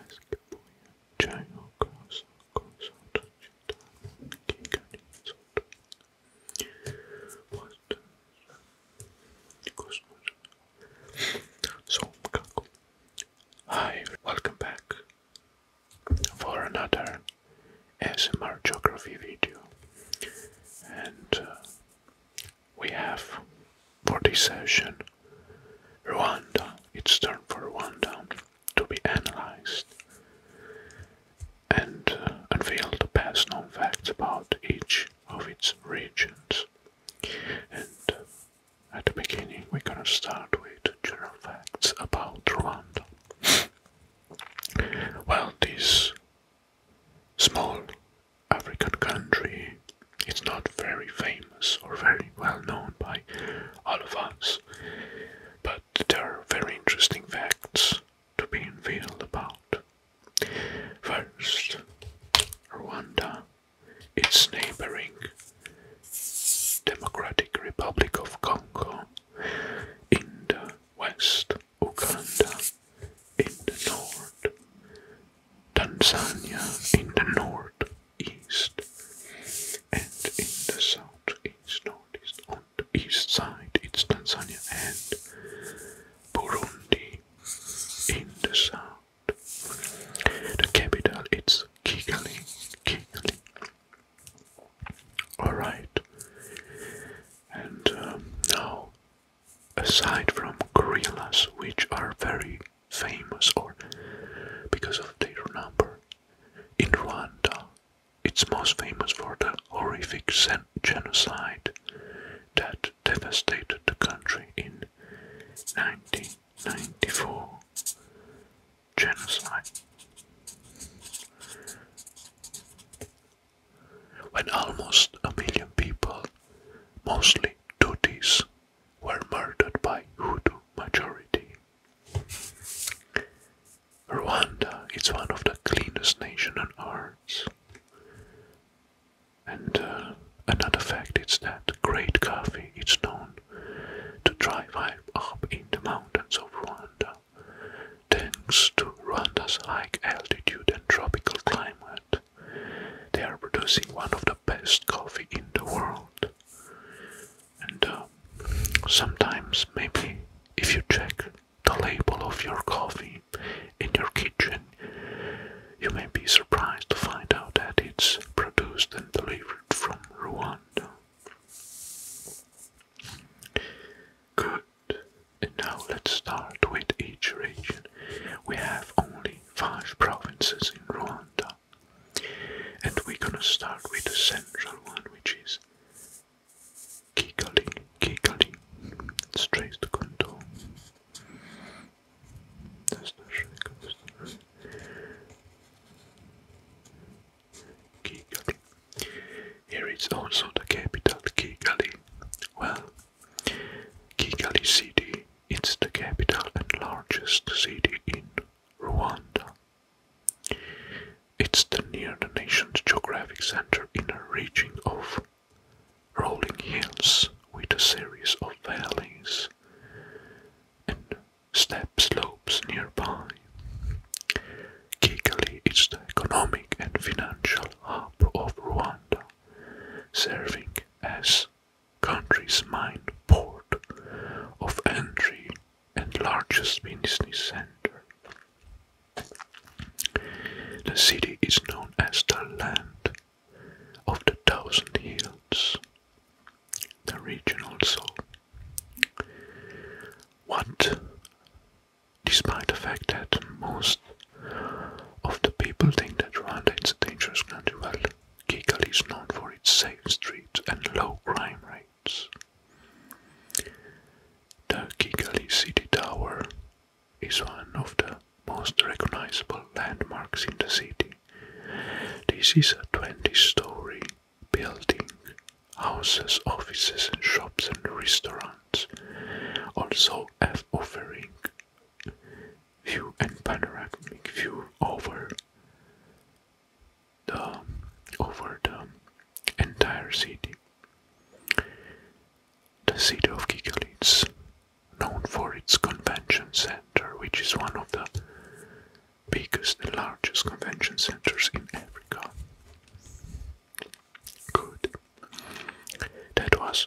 basketbol China Hi, welcome back for another SMR geography video and uh, we have for this session. Rwanda, it's time for Rwanda to be analyzed and uh, unveil the past known facts about each of its regions. And uh, at the beginning, we're gonna start with general facts about Rwanda. well, this small African country it's not very famous or very well known by all of us, but there are very interesting facts to be unveiled about. First, Rwanda, its neighboring Democratic Republic of Congo, in the west, Uganda, in the north, Tanzania, in the north, east and in the south east northeast on the east side it's Tanzania and Burundi in the south the capital it's Kigali Kigali all right and um, now aside from gorillas which are very famous or because of their number. In Rwanda, it's most famous for the horrific genocide that devastated the country in 1994. Genocide. When almost a million people, mostly Tutsis, were murdered by Hutu majority. Rwanda is one of the cleanest nation on earth. And uh, another fact is that great coffee is known to thrive up in the mountains of Rwanda, thanks to Rwanda's high altitude and tropical climate. They are producing one of the best coffee in the world. And um, sometimes, maybe if you check the label of your coffee in your kitchen, you may be surprised to find out that it's produced and delivered from Rwanda. Good. And now let's start with each region. We have only five provinces in Rwanda. And we're gonna start with the central one, which is Kigali, Kigali, straight to Kondo. That's Kigali. Here is also the capital, Kigali. Well, Kigali City it's the capital and largest city in Rwanda. It's near the nation's geographic center in a region of rolling hills with a series of valleys and steep slopes nearby. Kigali is the economic and financial hub of Rwanda, serving as country's main port of entry and largest business center. The city is known as the Land of the Thousand Hills, the region also. What, despite the fact that most of the people think that Rwanda is a dangerous country, well, Kigali is known for its safe streets and low crime rates. The Kigali City Tower is one of the most recognizable landmarks in the city. This is a 20 story building, houses, offices, and shops and restaurants, also offering view and panoramic view over the over the entire city. The city of Kigali is known for its convention center, which is one of the biggest and largest convention centers in Africa. Good. That was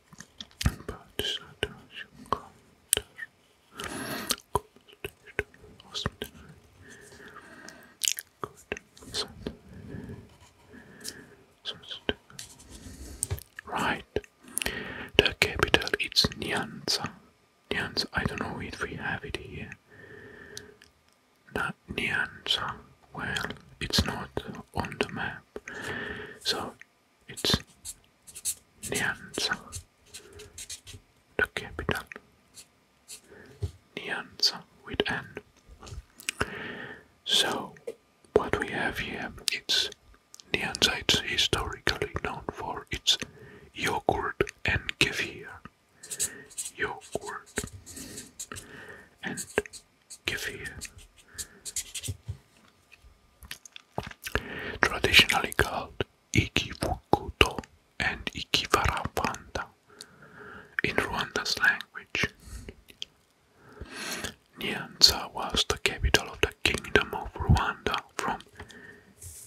Right. The capital is Nianza. Nianza. I don't know if we have it here. Not Nyanza. Well, it's not on the map. So it's Nyanza, the capital. Nyanza with N. So, what we have here it's Nyanza. It's historically known for its yogurt and kefir, yogurt and kefir. Traditionally called ikifukuto and ikivarapanda in Rwanda's language. Nyanza was the capital of the Kingdom of Rwanda from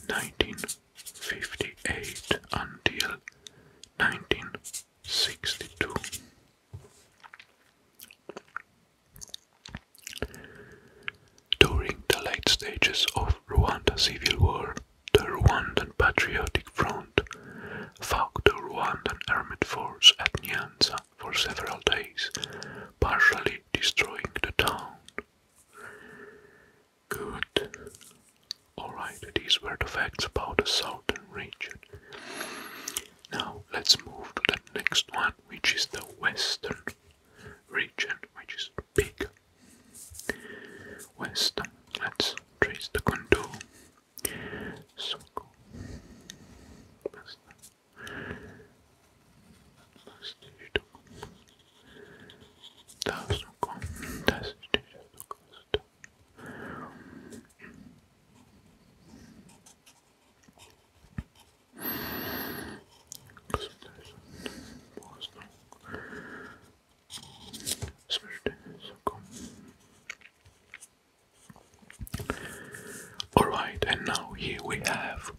1958 until 1962. During the late stages of Rwanda civil war, the Rwandan Patriotic Front fought the Rwandan armed force at Nyanza for several days, partially destroying the town. Good. Alright, these were the facts about the southern region. Now let's move to the next one, which is the western region, which is big. Western, let's trace the contour. Alright, and now here we have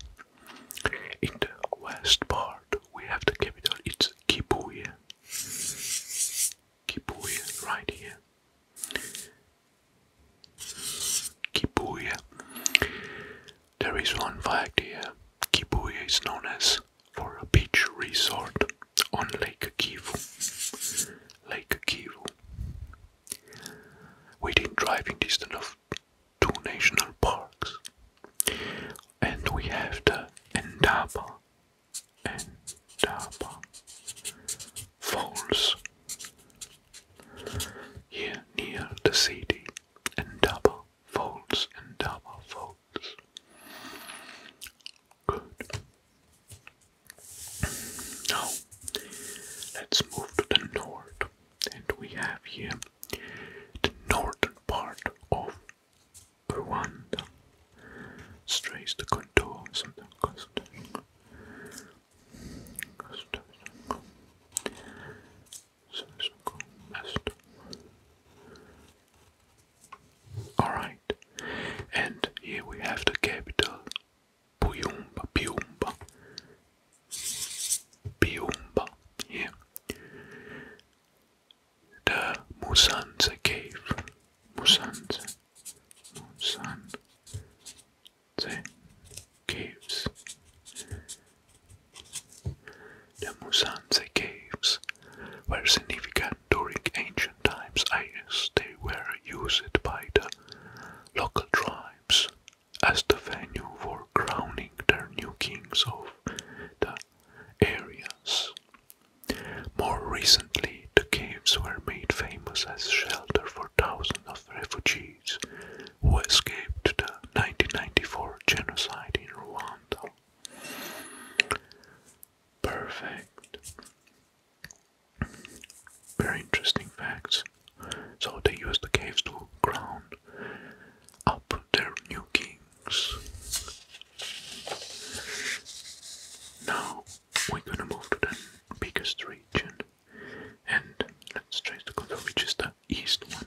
in the west part we have the capital, it's Kibuye. Kibuye, right here. Kipuya. There is one fact here. Kipuya is known as for a beach resort on Lake Kivu. Lake Kivu. Within driving distance of two national parks. And we have the Endapa. Endapa. Folds Here near the city, Indaba falls, Indaba falls. Good. Now, let's move to the north, and we have here the northern part of Rwanda. Strays the contour, something, something. Alright, and here we have the capital Puyumba, Puyumba, Puyumba here. The Musanze cave, Musanza on the caves. The Musanze caves were significant during ancient times as they were used by the local tribes as the venue for crowning their new kings of the areas. More recently, the caves were made famous as shelter for thousands of refugees who escaped the 1994 genocide in Rwanda. Perfect. Very interesting facts. So they used the caves to crown up their new kings. Now we're gonna move to the biggest region and let's try to control which is the east one.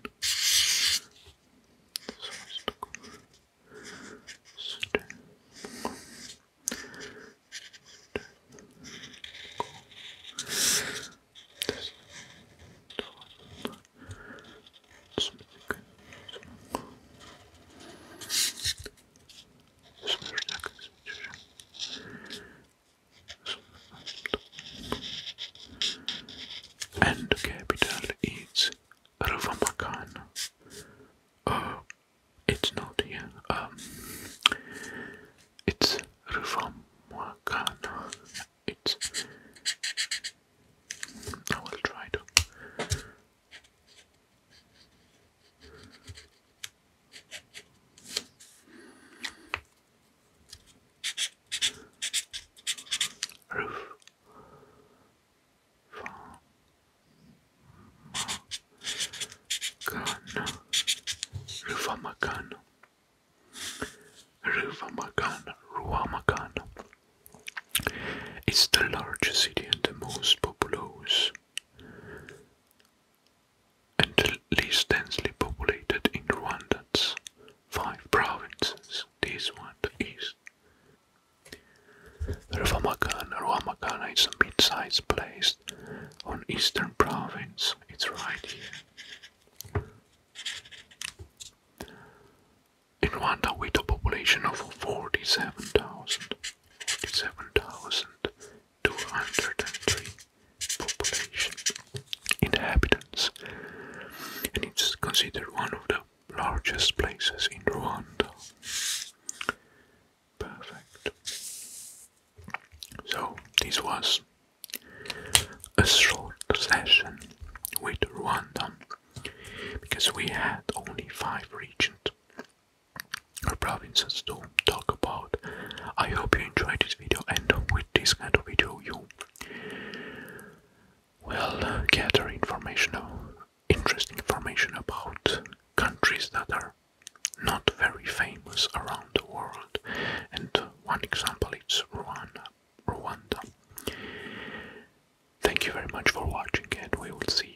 And the capital is Ruvamakan. Uh, it's not here. Um, it's Ruvamakan. It's. I will try to Roof. Gun. Rufamakan. Rufamakan. Ruamakan. It's the largest city and the most populous and least densely populated in Rwanda's five provinces. This one is Rwamagana. Rwamagana is a mid-sized place on eastern province. It's right here. Rwanda, with a population of 47,000. 57,203 population inhabitants, and it's considered one of the largest places in Rwanda. Perfect. So, this was a short session with Rwanda because we had only five regions our provinces to talk about. I hope you enjoyed this video and with this kind of video you will gather information, interesting information about countries that are not very famous around the world and one example is Rwanda. Rwanda. Thank you very much for watching and we will see